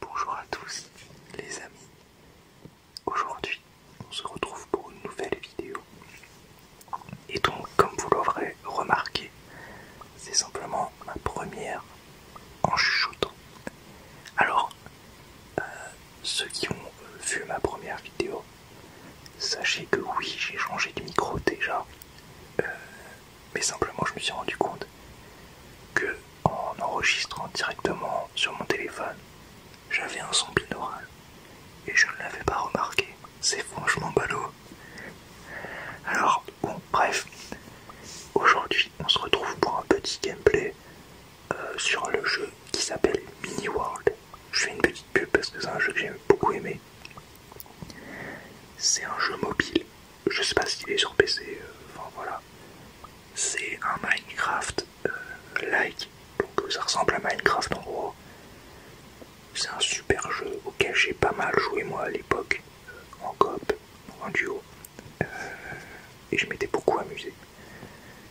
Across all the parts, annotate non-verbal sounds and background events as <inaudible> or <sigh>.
Bonjour à tous les amis, aujourd'hui on se retrouve pour une nouvelle vidéo et donc comme vous l'aurez remarqué c'est simplement ma première en chuchotant. Alors euh, ceux qui ont vu ma première vidéo, sachez que oui j'ai changé de micro déjà. Euh, mais simplement je me suis rendu compte que en enregistrant directement sur mon téléphone, j'avais un son binaural et je ne l'avais pas remarqué. C'est franchement ballot. Alors, bon, bref, aujourd'hui on se retrouve pour un petit gameplay euh, sur le jeu qui s'appelle Mini World. Je fais une petite pub parce que c'est un jeu que j'ai beaucoup aimé. C'est un jeu mobile je sais pas s'il est sur PC, euh, enfin voilà. C'est un Minecraft euh, like, donc euh, ça ressemble à Minecraft en gros. C'est un super jeu auquel j'ai pas mal joué moi à l'époque, en coop, en duo, et je m'étais beaucoup amusé.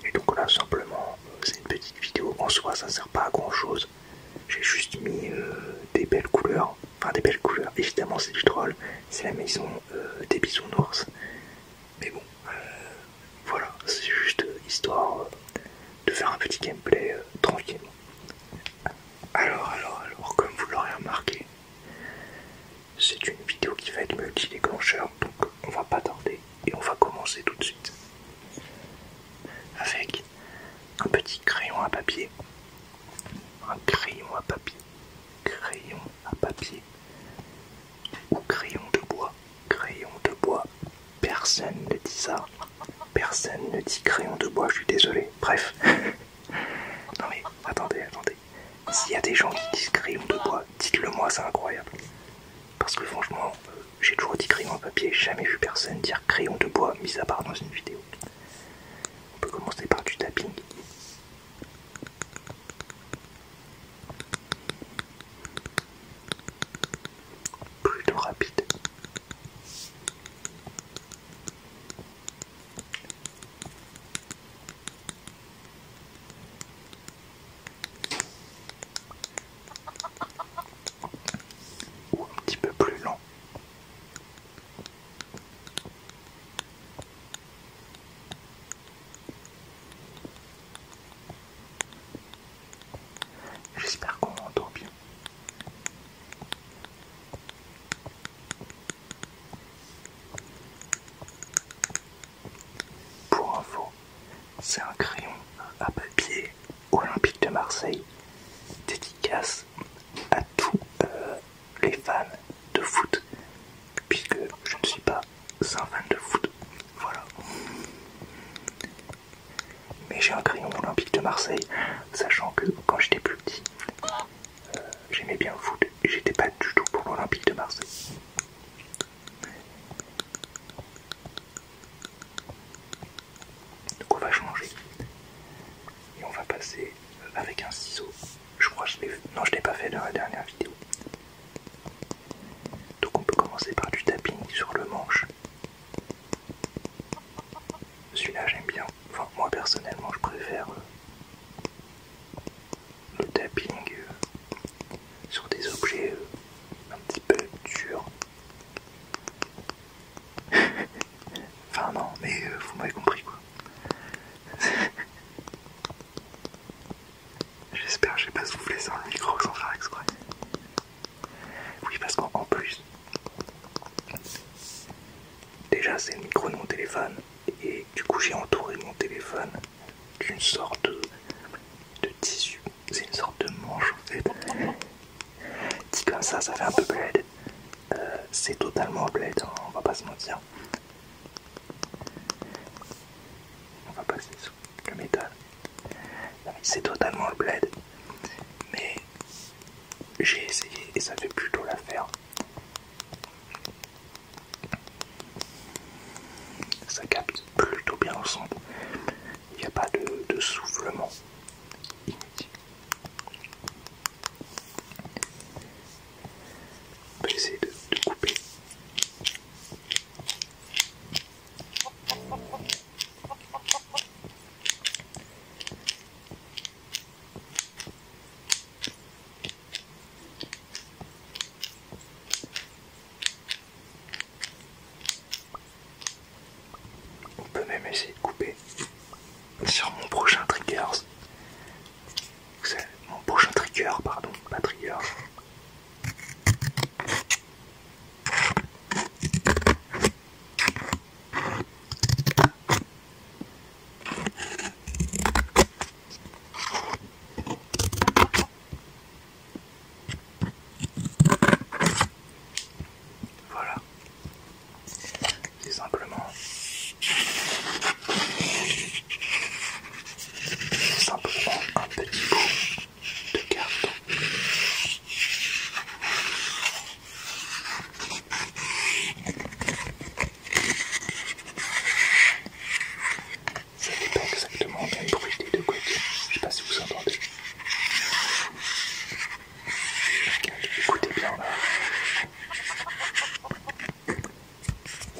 Et donc là simplement, c'est une petite vidéo, en soi ça sert pas à grand chose. J'ai juste mis des belles couleurs enfin des belles couleurs, évidemment c'est du troll, c'est la maison euh, des bisous noirs mais bon, euh, voilà, c'est juste euh, histoire de faire un petit gameplay tranquillement. Alors, alors, alors, comme vous l'aurez remarqué, c'est une vidéo qui va être multi-déclencheur, donc on va pas tarder et on va commencer tout de suite. Avec un petit crayon à papier, un crayon à papier, crayon à papier ou crayon de bois, crayon de bois. Personne ne dit ça, personne ne dit crayon de bois, je suis désolé. Bref, <laughs> non mais attendez, attendez. S'il y a des gens qui disent crayon de bois, dites-le moi, c'est incroyable. Parce que franchement, euh, j'ai toujours dit crayon à papier, jamais vu personne dire crayon de bois, mis à part dans une vidéo. On peut commencer par du tapping. Plutôt rapide. Ou un petit peu plus lent J'espère qu'on m'entend bien. Pour info, c'est un crayon à papier olympique de Marseille, dédicace à tous euh, les fans de foot, puisque je ne suis pas un fan de foot. Voilà. Mais j'ai un crayon olympique de Marseille, sachant que quand j'étais plus petit, euh, j'aimais bien le foot et j'étais pas du tout pour l'Olympique de Marseille. Donc on va changer et on va passer avec un ciseau. Je crois que je non je l'ai pas fait dans la dernière vidéo. Donc on peut commencer par du tapping sur le manche. Celui-là j'aime bien. Enfin moi personnellement je préfère euh, le tapping euh, sur des objets euh, un petit peu durs. <laughs> enfin non, mais euh, vous m'avez compris quoi. <laughs> J'espère j'ai pas soufflé sans le micro sans faire exprès. Oui parce qu'en plus, déjà c'est le micro de mon téléphone et du coup j'ai entouré mon téléphone d'une sorte de tissu c'est une sorte de manche en fait. comme ça, ça fait un peu bled. Euh, c'est totalement bled, hein, on va pas se mentir. On va passer sous le métal. C'est totalement bled. Mais j'ai essayé et ça fait plutôt l'affaire. Ça capte plutôt bien le centre il n'y a pas de, de soufflement inutile. essayer de couper. On peut même essayer de couper sur mon prochain trigger. Mon prochain trigger, pardon, pas trigger. Voilà. C'est simplement simplement un petit bout de carton ça fait pas exactement même bruit des deux côtés, Je sais pas si vous entendez. Écoutez bien là.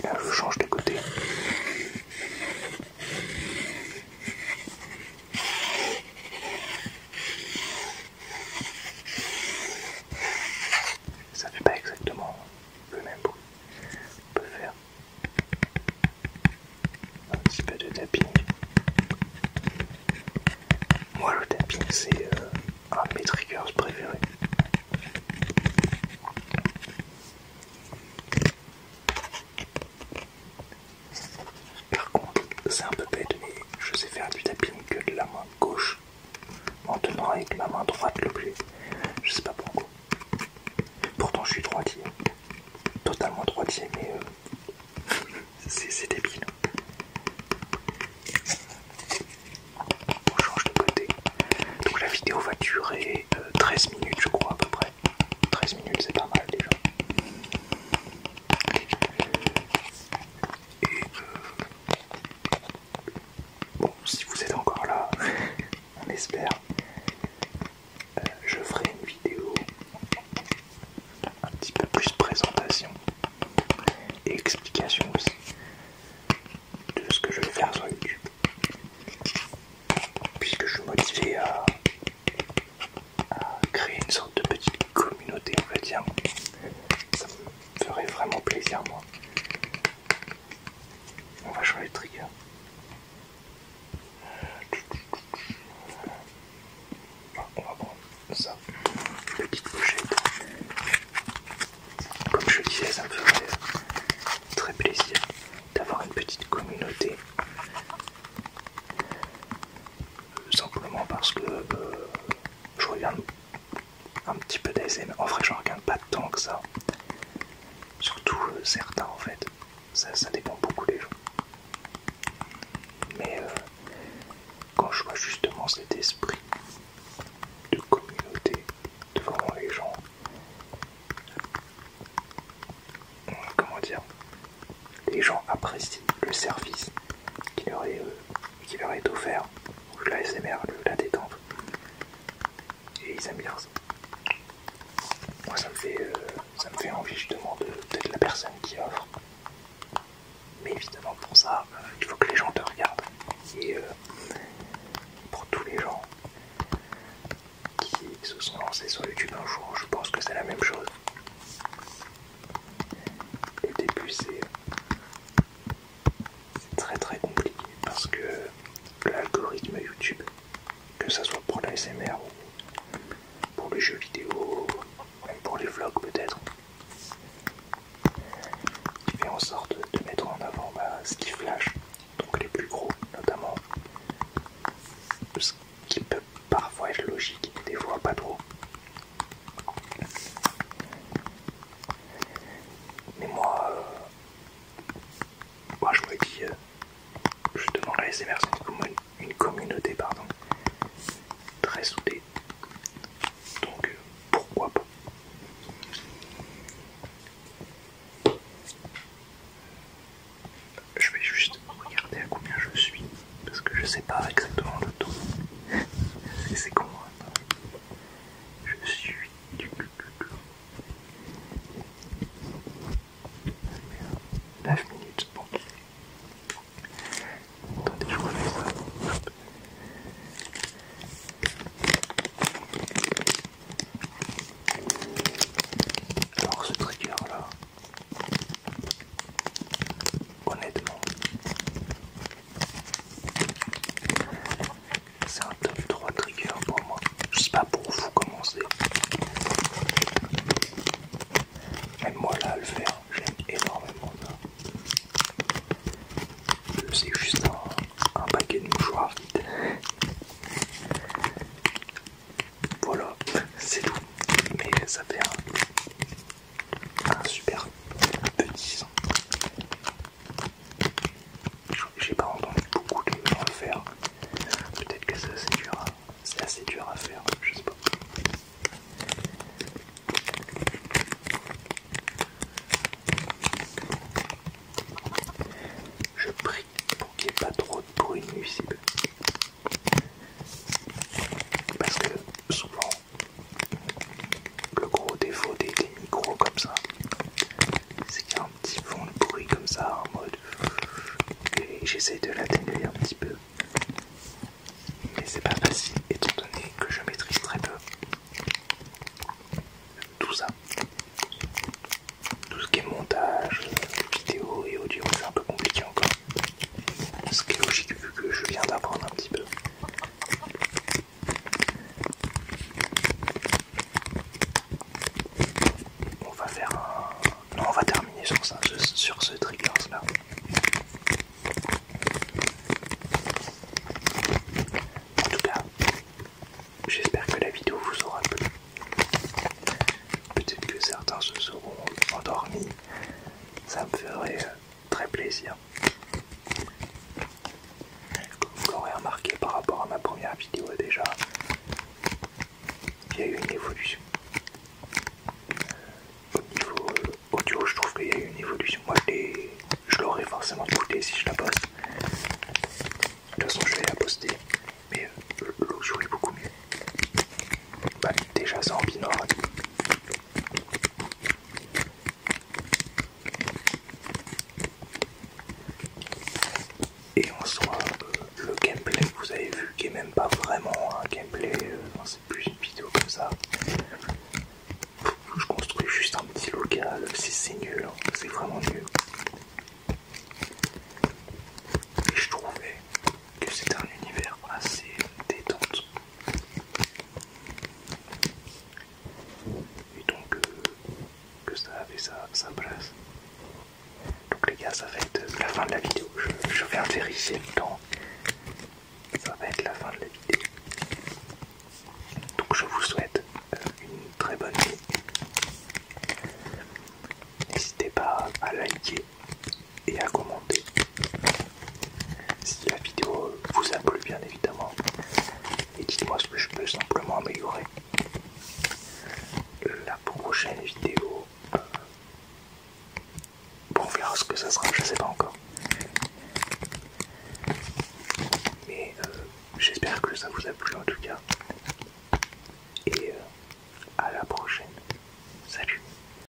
là je change de côté. Ça fait pas exactement le même bruit. On peut faire un petit peu de tapping. Moi le tapping c'est euh, un de mes triggers préférés. Par contre, c'est un peu bête, mais je sais faire du tapping que de la main gauche en tenant avec ma main droite l'objet. Je sais pas pourquoi. Pourtant, je suis droitier totalement droitier, mais euh, <laughs> c'est débile. On change de côté. Donc la vidéo va durer 13 euh, minutes, je crois, à peu près. 13 minutes, c'est pas mal déjà. Et euh, bon, si vous êtes encore là, <laughs> on espère. Euh, je ferai une vidéo un petit peu plus présentation et explication aussi de ce que je vais faire sur YouTube puisque je suis motivé à, créer une sorte de petite communauté on va dire ça me ferait vraiment plaisir moi on va changer de trigger on va prendre ça, une petite pochette. Comme je disais, ça me ferait très plaisir d'avoir une petite communauté. Simplement parce que euh, je reviens un petit peu d'ASM. En vrai, je regarde pas tant que ça. Surtout euh, certains en fait. Ça, ça dépend beaucoup des gens. Mais euh, quand je vois justement cet esprit de communauté, devant les gens... Euh, comment dire Les gens apprécient le service qui leur est, qui leur est offert, ou la SMR, la détente et ils aiment bien ça. Moi ça me fait, euh, ça me fait envie justement d'être la personne qui offre. Mais évidemment pour ça, euh, il faut que les gens te regardent. Et euh, pour tous les gens qui se sont lancés sur YouTube un jour, je pense que c'est la même chose. Le début c'est c'est très très compliqué parce que l'algorithme YouTube, que ce soit pour l'ASMR ou pour les jeux vidéo, même pour les vlogs peut-être, il fait en sorte de mettre en avant bah, ce qui flash, donc les plus gros notamment, ce qui peut parfois être logique, des fois pas trop. Mais moi, euh, moi je me dis, je demande à SMR, c'est une communauté pardon, très soudée. Donc euh, pourquoi pas je vais juste regarder à combien je suis parce que je sais pas exactement le taux. <laughs> C'est con. Hein, je suis 9 minutes, bon. Attendez, je refais ça. Hop. Alors ce trigger là, honnêtement, c'est un top 3 trigger pour moi. Je sais pas pour vous comment c'est. Même moi là à le faire, j'aime énormément ça. C'est juste un, paquet de mouchoirs vide. Voilà, c'est tout. Mais ça fait un, un super petit son. J'ai pas entendu beaucoup de gens le faire. Peut-être que c'est assez dur. C'est assez dur à faire, je sais pas. Je prie pour qu'il n'y ait pas trop de bruit nuisible. Parce que souvent le gros défaut des, micros comme ça, c'est qu'il y a un petit fond de bruit comme ça en mode. Et j'essaie de l'atténuer un petit peu. Mais c'est pas facile étant donné que je maîtrise très peu tout ça. Tout ce qui est montage, vidéo et audio, c'est un peu compliqué encore. Ce qui est logique vu que je viens d'apprendre un petit peu. On va faire un... Non, on va terminer sur ça, sur ce trigger là. En tout cas, j'espère que la vidéo vous aura plu. Peut-être que certains se seront endormis. Ça me ferait euh, très plaisir. Comme vous l'aurez remarqué par rapport à ma première vidéo déjà, il y a eu une évolution. Au niveau audio, je trouve qu'il y a eu une évolution. Moi, je l'aurais forcément écouté si je la poste. De toute façon, je vais la poster, mais euh, l'eau est beaucoup mieux. Bah, déjà, c'est en binôme. Et en soi, euh, le gameplay que vous avez vu, qui est même pas vraiment un gameplay, euh, c'est plus une vidéo comme ça. Je construis juste un petit local, c'est nul, hein, c'est vraiment nul. Et je trouvais que c'était un univers assez détente et donc euh, que ça avait sa, place. Donc les gars, ça va être la fin de la vidéo. Je, viens vais vérifier le temps. Ça va être la fin de la vidéo. Donc je vous souhaite euh, une très bonne nuit. N'hésitez pas à liker, et à commenter si la vidéo vous a plu bien évidemment et dites moi ce que je peux simplement améliorer la prochaine vidéo euh, on verra ce que ça sera je sais pas encore mais euh, j'espère que ça vous a plu en tout cas et euh, à la prochaine salut